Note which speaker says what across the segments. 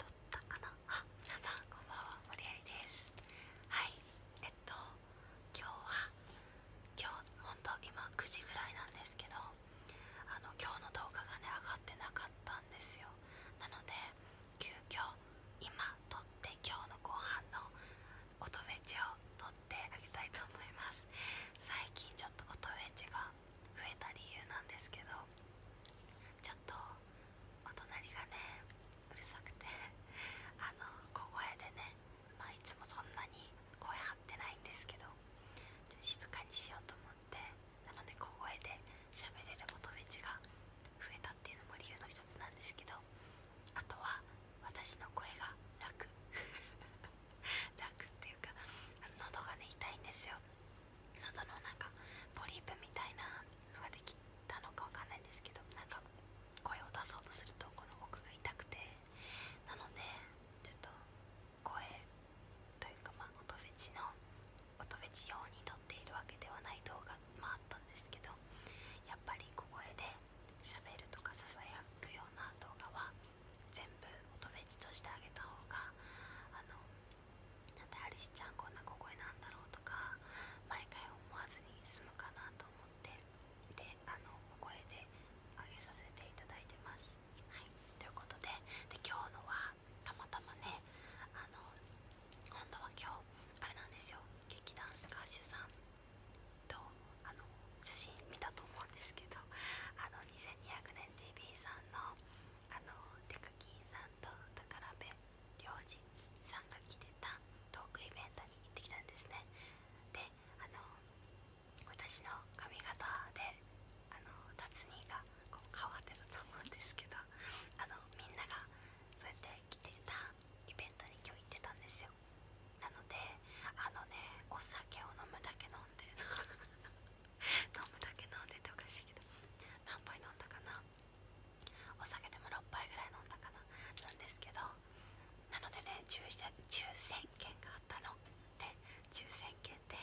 Speaker 1: 撮ったかなあ、皆さんこんばんは、森有ですはい、えっと今日は今日、ほんと今9時ぐらいなんですけどあの今日の動画がね、上がってなかったんですよなので、急遽今撮って今日の後半の音ベベチを撮ってあげたいと思います最近ちょっと音ベベチが増えた理由なんですけどちょっとお隣がねうるさくて あの小声でねまいつもそんなに声張ってないんですけどちょっと静かにしようと思ってなので小声で喋れる音フェが増えたっていうのも理由の1つなんですけどあとは私の声が楽 楽っていうか喉がね痛いんですよ喉のなんかポリープみたいなのができたのかわかんないんですけどなんか声を出そうとするとこの奥が痛くてなのでちょっと声というかま音ベェチの音フェ用に撮っているわけではない動画もあったんですけどやっぱり小声で喋るとかささやくような動画は全部音ベェチとしてあげた方があのなんでアリスちゃんこんな小声なんだろうとか毎回思わずに済むかなと思ってであの小声で上げさせていただいてます。はい、ということでで今日のはたまたまねあの本当は今日あれなんですよ劇団スカッシュさんとあの写真見たと思うんですけどあの2200年 TV さんのあのデカキンさんと宝部良二さんが来てたトークイベントに行ってきたんですねであの私の髪型であの達人がこう変わってると思うんですけどあのみんながそうやって来てたイベントに今日行ってたんですよなのであのねお酒を飲むだけ飲んで飲むだけ飲んでておかしいけど何杯飲んだかなお酒でも6杯ぐらい飲んだかななんですけどなのでね抽選券があったので抽選券で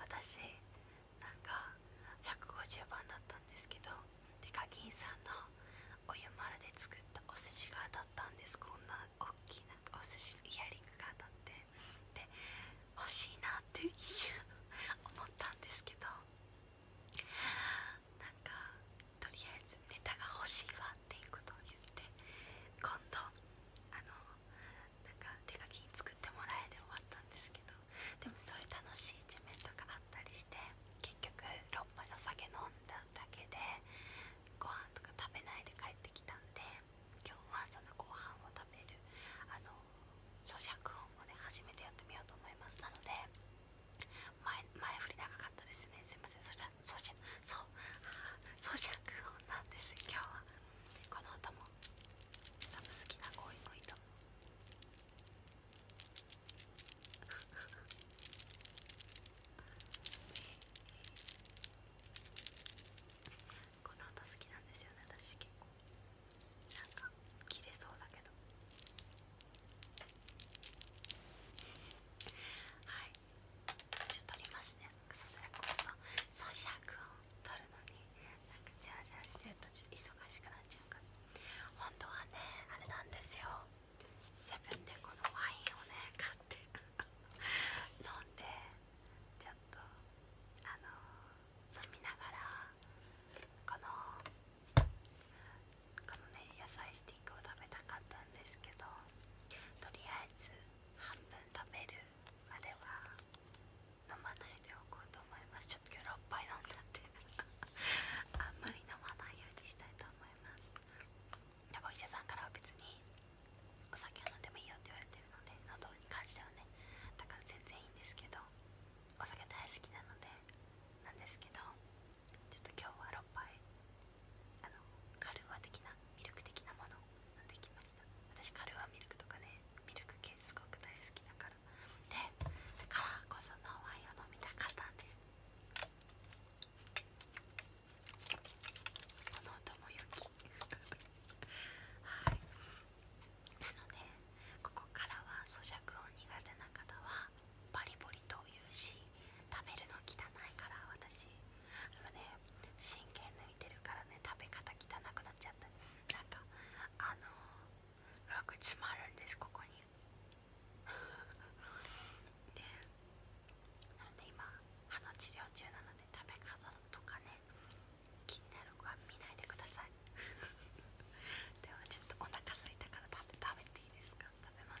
Speaker 1: 私なんか150番だったんですけどカ課ンさんのお湯丸で作ったお寿司が当たったんですこんな大きいなんかお寿司イヤリングが当たってで欲しいなって一瞬思ったんですけどなんかとりあえずネタが欲しいわっていうことを言って今度あのなんか手書きに作ってもらえで終わったんですけどでもそういう楽しい一面とかあったりして結局6杯お酒飲んだだけでご飯とか食べないで帰ってきたんで。今日はそのご飯を食べるあの咀嚼音をね初めてやってみようと思いますなので前前振り長かったですねすみませんそしたら咀嚼う咀嚼音なんです今日はこの音も多分好きな子多い子とこの音好きなんですよね私結構。なんか切れそうだけどはいちょっと取りますねそらこそ咀嚼音取るのになんかジャージャーしてるとちょっと忙しくなっちゃうから本当はねあれなんですよセブンでこのワインをね買って飲んでちょっとあの飲みながらこのこのね野菜スティックを食べたかったんですけどとりあえず半分食べるまでは飲まないでおこうと思いますちょっと今日6杯飲んだって あんまり飲まないようにしたいと思いますでもお医者さんからは別にお酒を飲んでもいいよって言われてるので喉うに関してはねだから全然いいんですけどお酒大好きなのでなんですけどちょっと今日は6杯あのカルーア的なミルク的なもの飲んできました私カルーアミルクとかねミルク系すごく大好きだからでだからこそのワインを飲みたかったんですこの音も良きはいなのでここからは咀嚼音苦手な方はバリバリと言うし食べるの汚いから私あのね神経抜いてるからね食べ方汚くなっちゃったなんかあの楽詰まるんですここに でなので今歯の治療中なので食べ方とかね気になる子は見ないでください ではちょっとお腹すいたから食べていいですか食べますか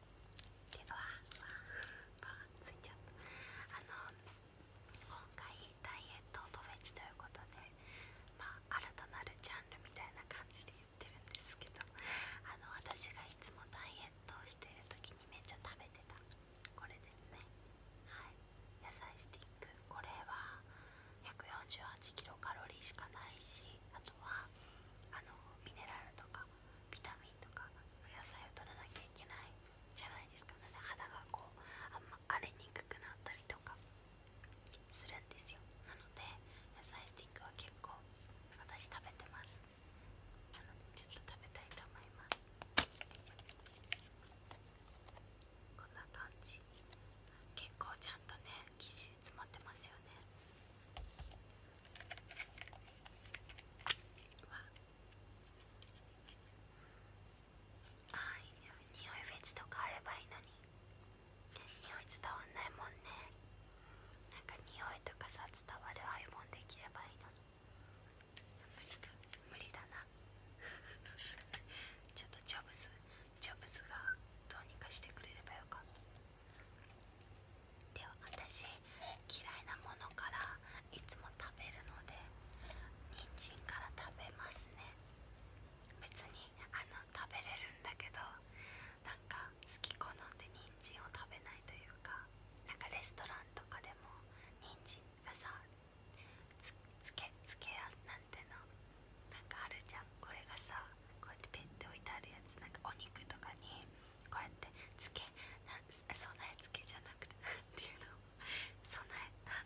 Speaker 1: けどあパンついちゃったあの今回ダイエットとフェチということでまあ新たなるジャンルみたいな感じで言ってるんですけどあの私がいつもダイエットをしている時にめっちゃ食べてたこれですねはい野菜スティックこれは148キロカロリーしかないしあとはあのミネラルとかビタミンとか野菜を取らなきゃいけないじゃないですかなので肌がこうあんま荒れにくくなったりとかするんですよなので野菜スティックは結構私食べてますなのでちょっと食べたいと思いますこんな感じ結構ちゃんとね生地詰まってますよねああいい匂いフェチとかあればいいのに匂い伝わんないもんねなんか匂いとかさ伝わる iPhone できればいいのに無理か無理だな ちょっとジョブズジョブズがどうにかしてくれればよかったでは私嫌いなものからいつも食べるのでにんじんから食べますね別にあの食べれるんだけどなんか好き好んで人参を食べないというかなんかレストランとかでも人参がさつけやなんてのなんかあるじゃんこれがさこうやってペって置いてあるやつなんかお肉とかにこうやってつけな備え付けじゃなくて何ていうの備えな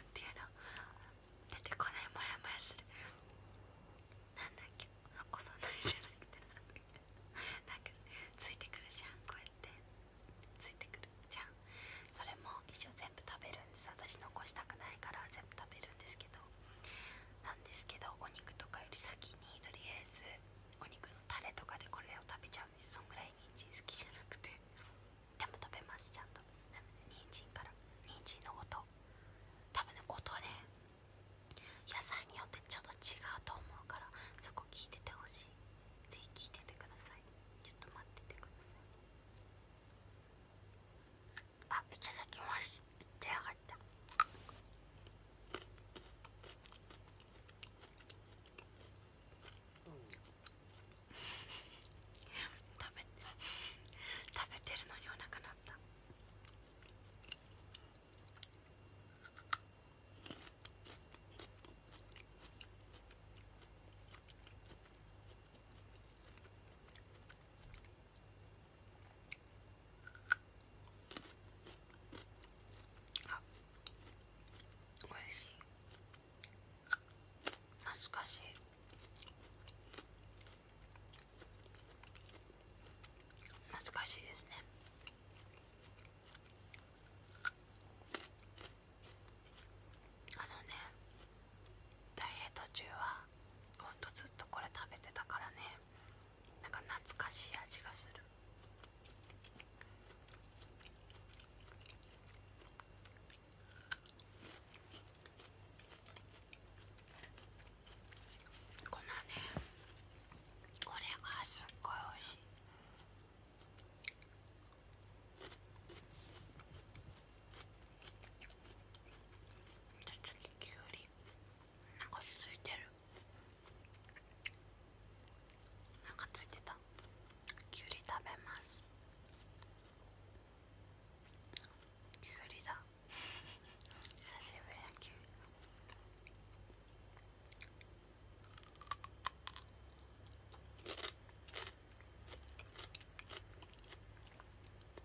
Speaker 1: なんていうの出てこないもやもやするなんだっけお備えじゃなくてなんだっけかついてくるじゃんこうやってついてくるじゃんそれも一応全部食べるんです私残したくないから全部食べるんですけどなんですけどお肉とかより先にとりあえずお肉のタレとかでこれを食べちゃうんですそんぐらい人参好きじゃなくてでも食べますちゃんとなので人参から人参の音多分ね音ね野菜によってちょっと違うと思うからそこ聞いててほしいぜひ聞いててくださいちょっと待っててくださいあいただきます出やがったうん。食べ食べてるのにお腹鳴ったあおいしい懐かしい懐かしいですねあのねダイエット中はほんとずっとこれ食べてたからねなんか懐かしい味がするこのねこれがすっごいおいしいじゃ次きゅうりなんかついてるなんかついてたきゅうり食べますきゅうりだ久しぶりやなきゅうり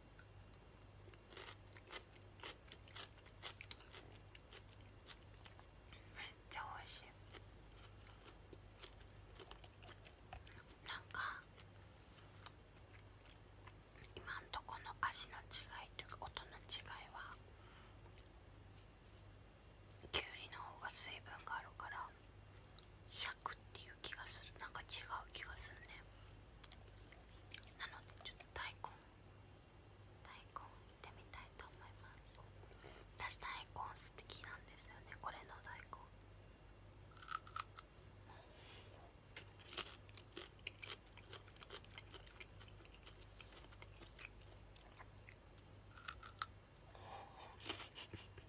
Speaker 1: めっちゃ美味しいなんか今んとこの味の違いというか音の違いはきゅうりの方が水分があるから100っていう気がするなんか違う気がするねなのでちょっと大根大根いってみたいと思います私大根好きなんですよねこれの大根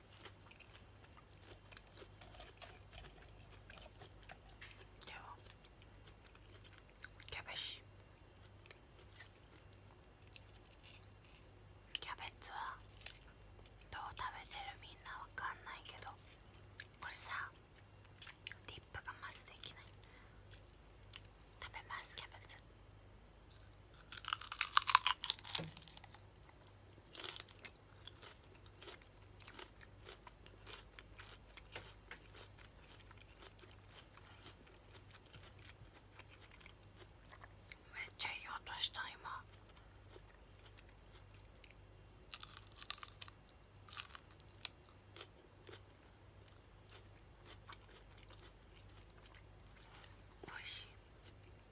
Speaker 1: ではキャベツキャベツはどう食べてるみんなわかんないけどこれさディップがまずできない食べますキャベツめっちゃいい音した今。おいしい。で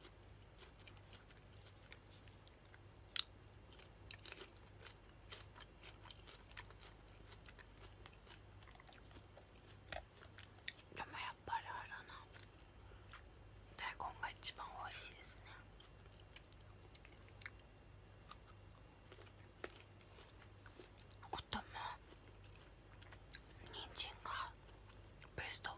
Speaker 1: もやっぱりあれだな大根が一番美味しいですねおとも人参がベスト4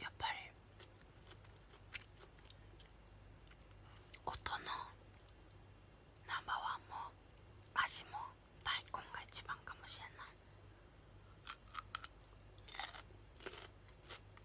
Speaker 1: やっぱり音のナンバーワンも味も大根が一番かもしれない。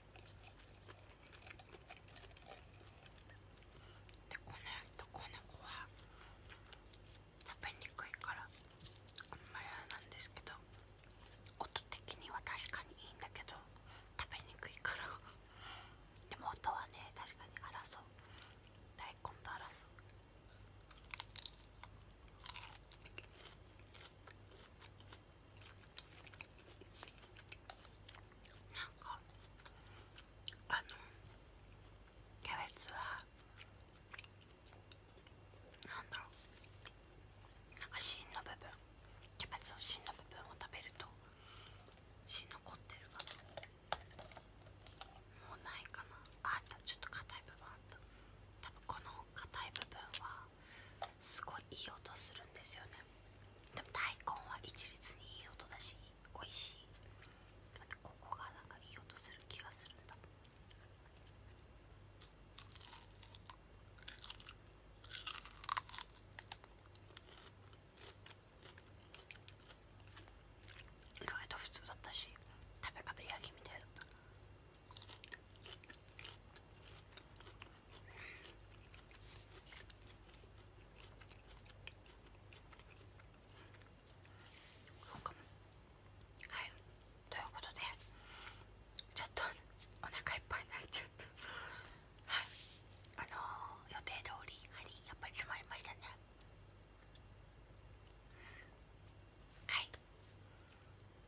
Speaker 1: でこのとこの子は食べにくいからあんまりあれなんですけど音的には確かにいいんだけど食べにくいからでも音はね確かに争う大根と争うなんかあのキャベツはなんだろうなんか芯の部分キャベツの芯の部分を食べると芯残ってるかなもうないかなあったちょっと硬い部分あった多分この硬い部分はすごいいい音するんですよねでも大根は一律にいい音だしおいしいここがなんかいい音する気がするんだ意外と普通だったし食べ方焼きみたいだったな。うかはいということでちょっとお腹いっぱいになっちゃったはいあの予定通り針やっぱり詰まりましたねはい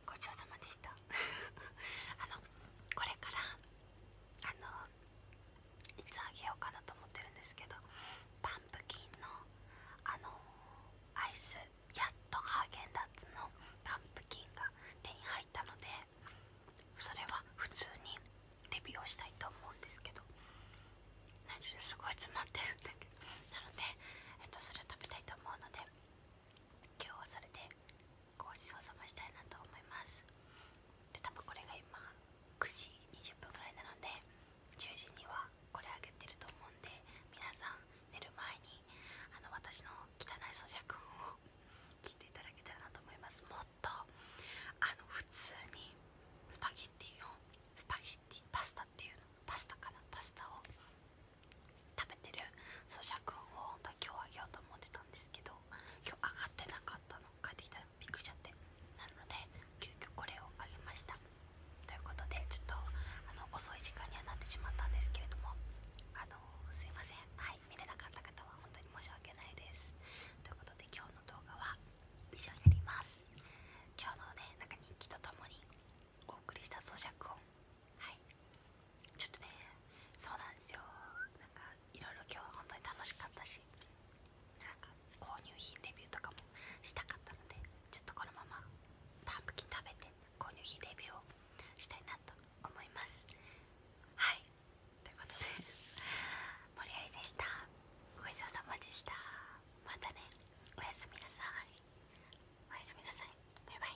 Speaker 1: ごちそうさまでした あのこれからあのいつあげようかなと思ってるんですけどパンプキンのあのアイスやっとハーゲンダッツのパンプキンが手に入ったのでそれは普通にレビューをしたいと思うんですけど何すごい詰まってるんだけどなので、えっと、それを食べたいと思うので今日はそれでごちそうさましたいなと思いますで多分これが今9時20分ぐらいなので10時にはこれあげてると思うんで皆さん寝る前にあの私の汚い咀嚼音を聞いていただけたらなと思いますもっとあの普通にスパゲッティをスパゲッティパスタっていうのパスタかなパスタを食べてる咀嚼音を本今日あげようと思ってたんですけど今日上がってなかったの帰ってきたらびっくりしちゃってなので急遽これをあげましたということでちょっとあの遅い時間にはなってしまったんですけれどもあのすいませんはい見れなかった方は本当に申し訳ないですということで今日の動画は以上になります今日のねなんか人気とともにお送りした咀嚼音はいちょっとねそうなんですよなんかいろいろ今日は本当に楽しかったしなんか購入品レビューとかもしたかったのでちょっとこのままパンプキン食べて購入品レビューをしたいなと思いますはいということでり 森りでしたごちそうさまでしたまたねおやすみなさいおやすみなさいバイバイ